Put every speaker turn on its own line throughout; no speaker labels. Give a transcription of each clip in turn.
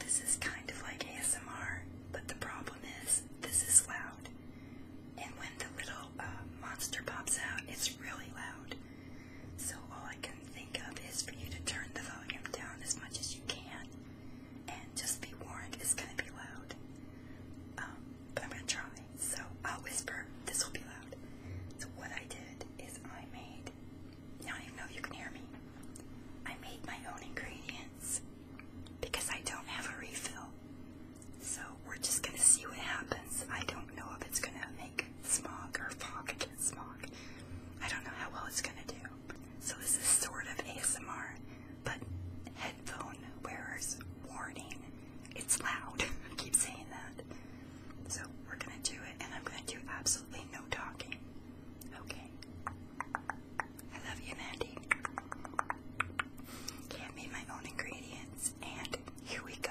This is kind of like ASMR, but the problem is this is loud. And when the little uh, monster pops out, it's really loud. So all I can think of is for you to turn the volume down as much as you can. And just be warned, it's going to be loud. Um, but I'm going to try. So I'll whisper, this will be loud. So what I did is I made I don't even know if you can hear me. I made my own ingredients because I don't have a refill. So we're just gonna see what happens. I don't know if it's gonna make smog or fog against smog. I don't know how well it's gonna do. So this is sort of ASMR, but headphone wearers warning. It's loud. I keep saying that. So we're gonna do it and I'm gonna do absolutely no talking. Okay. I love you, Mandy. Can't be my own ingredients, and here we go.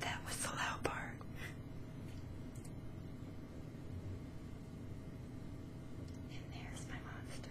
That was the loud part. And there's my monster.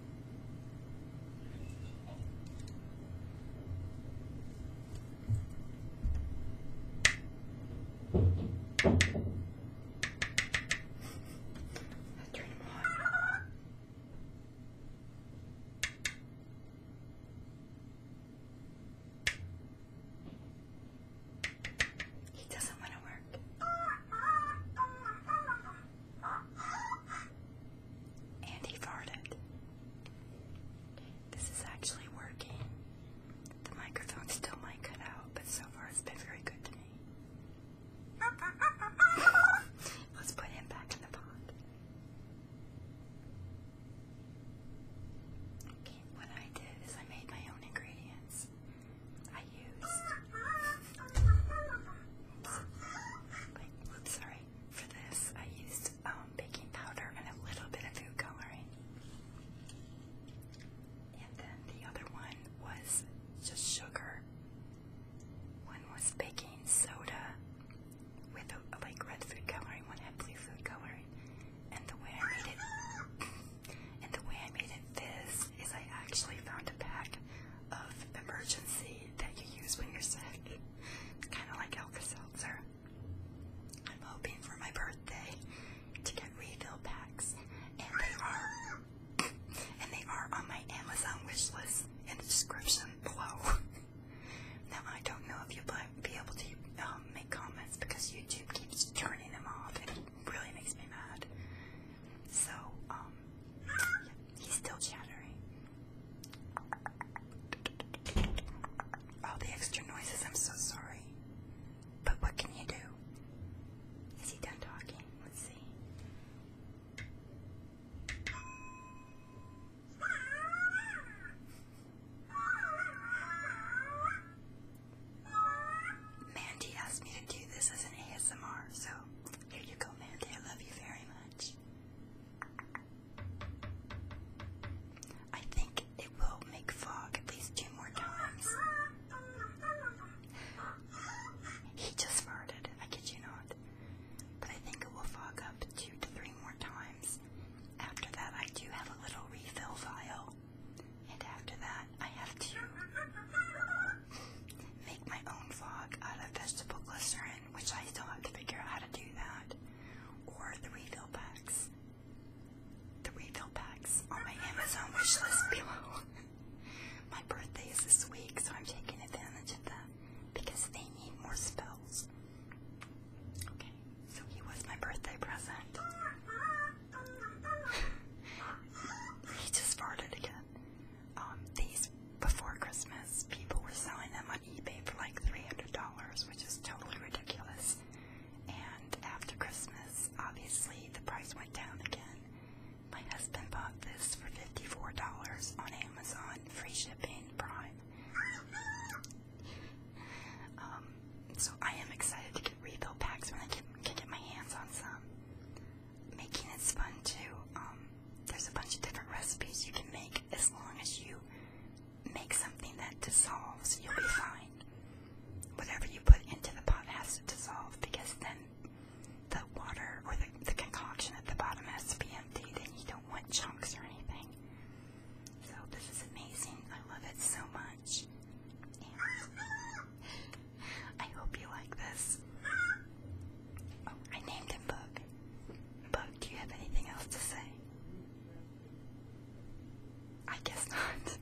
He doesn't want to work. And he farted. This is actually working. The microphone still might cut out, but so far it's been very good to me. Let's put him back in the pond. Okay, what I did is I made my own ingredients. I used. Like, oops, sorry. For this, I used um, baking powder and a little bit of food coloring. And then the other one was just sugar. One was baking soda with a, like red food coloring, one had blue food coloring. And the way I made it, and the way I made it fizz is I actually found a pack of emergency that you use when you're sick. It's kind of like Alka Seltzer. I'm hoping for my birthday to get refill packs, and they are and they are on my Amazon wish list in the description below. now I don't know if you'll be able to um, make comments because YouTube keeps turning them off, it really makes me mad. So um, He's still chattering. All the extra noises, I'm so sorry. But what can you do? Is he done talking? Let's see. Mandy asked me to do this as an ASMR, so here you go, Mandy. I love you very much. I think it will make fog at least two more times. He just farted, I kid you not. But I think it will fog up two to three more times. After that, I do have a little refill vial. And after that, I have to make my own fog out of vegetable glycerin which I still have to figure out how to do that, or the refill packs. The refill packs on my Amazon wishlist below. my birthday is this week, so I'm taking advantage of that because they need more spells. Okay, so he was my birthday present. he just farted again um, these before Christmas, people were selling them on eBay for like $300, which is totally ridiculous. And after Christmas, obviously, the price went down again. My husband bought this for $54 on Amazon, free shipping, prime. um, so I am excited to get refill packs when I can, can get my hands on some making is fun too. Um, there's a bunch of different recipes you can make as long as you make something that dissolves, you'll be fine. Whatever you put into the pot has to dissolve because then the water or the, concoction at the bottom has to be emptied and you don't want chunks or anything. So this is amazing. I love it so much. I hope you like this. Oh, I named him Book. But do you have anything else to say? I guess not.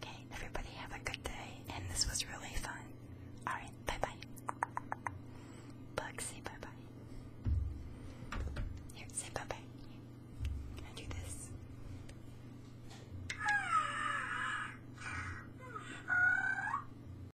Okay, everybody have a good day, and this was really fun. Alright, bye bye. Bug, say bye bye. Here, say bye bye. And do
this.